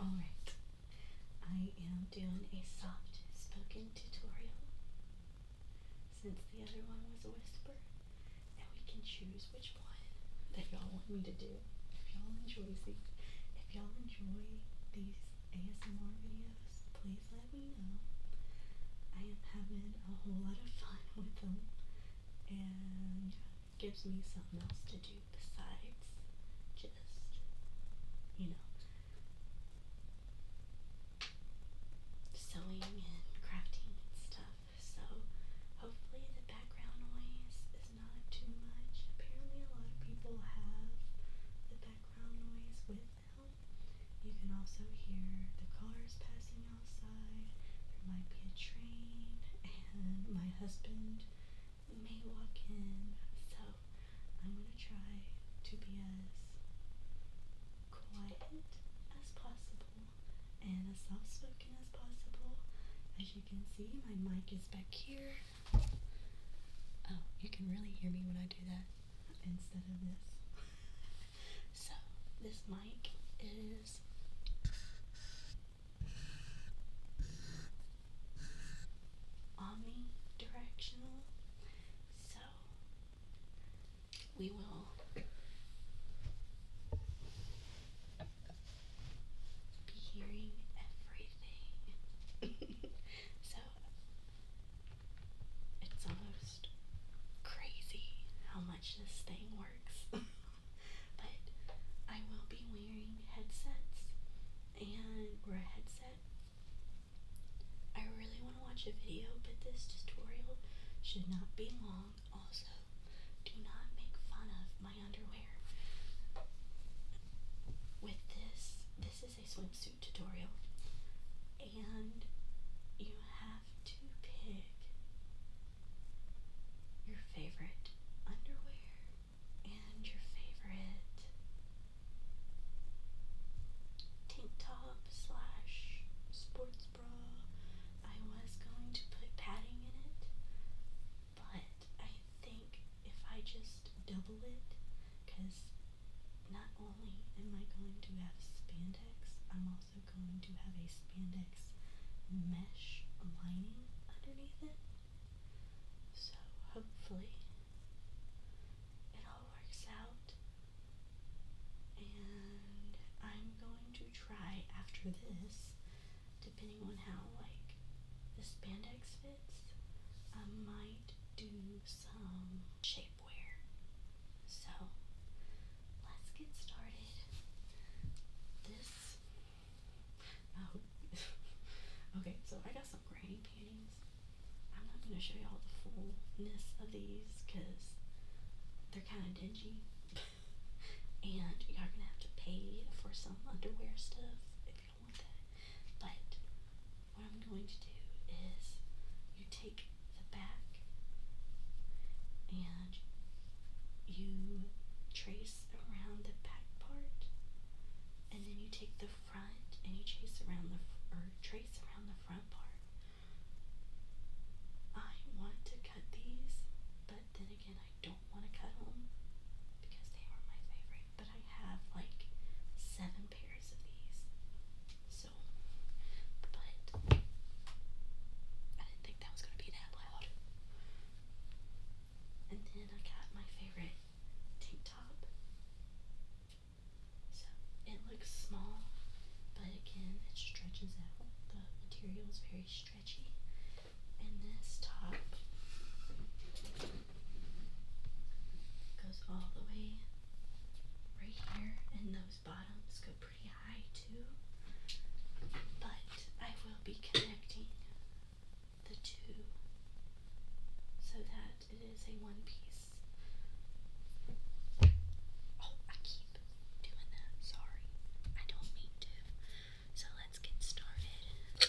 Alright, I am doing a soft spoken tutorial since the other one was a whisper, and we can choose which one that y'all want me to do. If y'all enjoy these, if y'all enjoy these ASMR videos, please let me know. I am having a whole lot of fun with them and gives me something else to do besides just, you know, sewing and crafting and stuff. So hopefully the background noise is not too much. Apparently a lot of people have the background noise with them. You can also hear the cars passing outside. There might be a train, and my husband may walk in. So I'm going to try to be as quiet as possible and as soft spoken as possible. As you can see, my mic is back here. Oh, you can really hear me when I do that instead of this. So this mic is omnidirectional. So we will be hearing everything. so it's almost crazy how this thing works. but I will be wearing headsets and or a headset. I really want to watch a video, but this tutorial should not be long. Also, do not make fun of my underwear. With this, this is a swimsuit tutorial, and you have to pick your favorite underwear and your favorite tank top slash sports bra. I was going to put padding in it, but I think if I just double it, because not only am I going to have spandex, I'm also going to have a spandex mesh lining underneath it. So hopefully it all works out. And I'm going to try after this, depending on how like the spandex fits, I might do some shape so let's get started. This. Oh, okay, so I got some granny panties. I'm not going to show y'all the fullness of these because they're kind of dingy. and you are going to have to pay for some underwear stuff if you don't want that. But what I'm going to do is you take the back and you trace around the back part and then you take the front and you chase around the or trace around the front part. I want to cut these, but then again I don't want to cut them because they are my favorite, but I have like seven pairs of these. So but I didn't think that was gonna be that loud. And then I got my favorite tank top. So it looks small, but again it stretches out. The material is very stretchy. And this top goes all the way right here, and those bottoms go pretty high too. But I will be connecting the two so that it is a one piece. Oh, I keep doing that. Sorry. I don't mean to. So let's get started.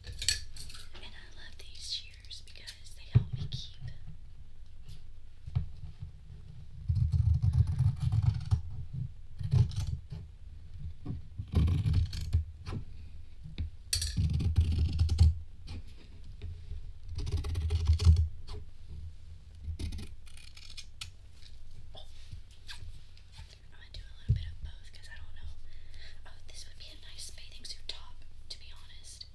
And I love these shears because they help me keep Oh, I'm gonna do a little bit of both because I don't know. Oh, this would be a nice bathing suit top, to be honest.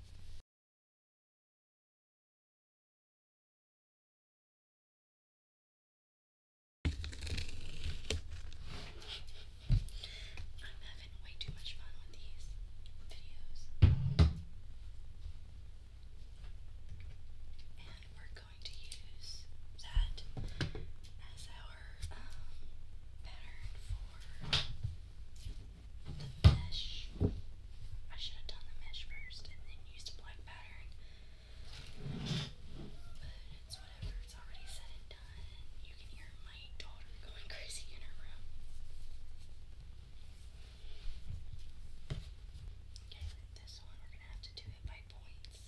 I'm having way too much fun with these videos. And we're going to use that as our um, pattern for the mesh. I should have done the mesh first and then used a black pattern. But it's whatever, it's already said and done. You can hear my daughter going crazy in her room. Okay, with this one, we're going to have to do it by points.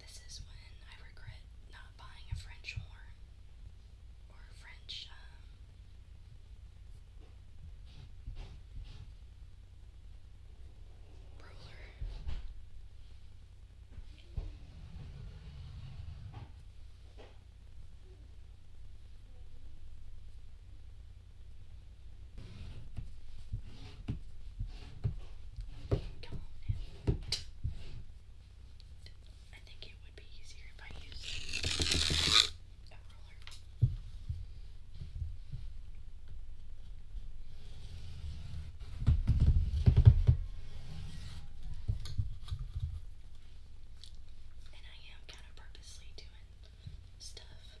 This is when I regret not buying a French horn or a French, um, I think it would be easier if I used a roller. And I am kind of purposely doing stuff. All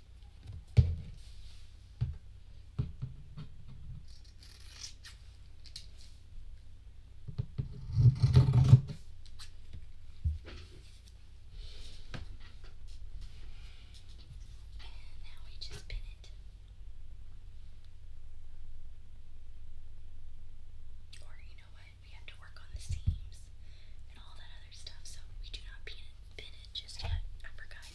And now we just pin it. Or you know what? We have to work on the seams and all that other stuff, so we do not pin it, pin it just yet. I forgot.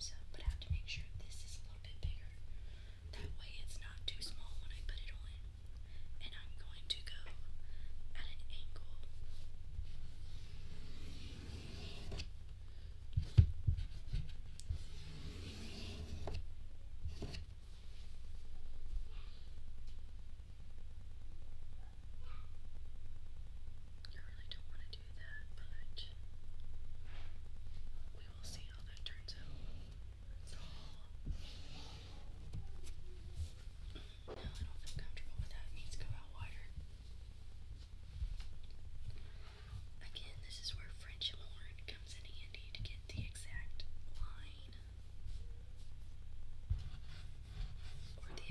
So, but I have to make sure this is a little bit That way it's not too small when I put it on. And I'm going to go at an angle. I really don't want to do that, but we will see how that turns out. no, I don't feel comfortable with that. It needs to go out wider. Again, this is where French horn comes in handy to get the exact line. Or the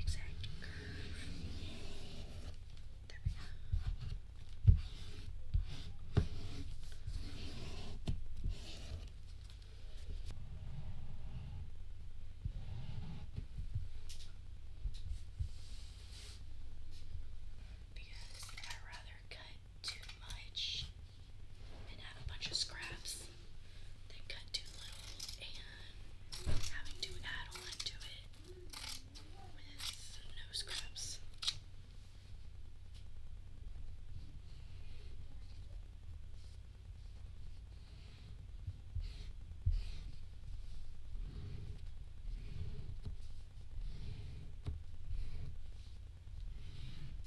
Because I rather cut too much and have a bunch of scraps than cut too little and having to add on to it with no scraps.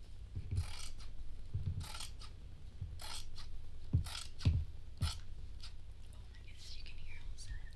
my goodness, you can hear all of that.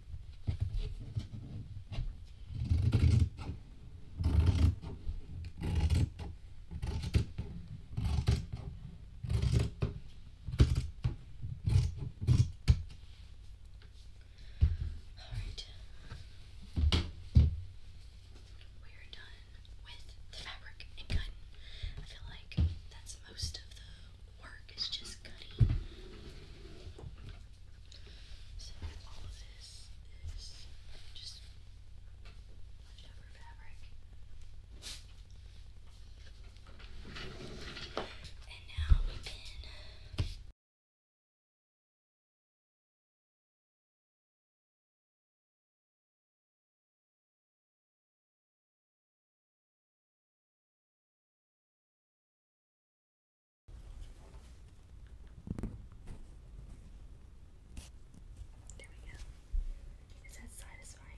Alright. We are done with the fabric and cutting. I feel like that's most of the work is just cutting. So all of this is just leftover fabric. And now we can there we go. Is that satisfying?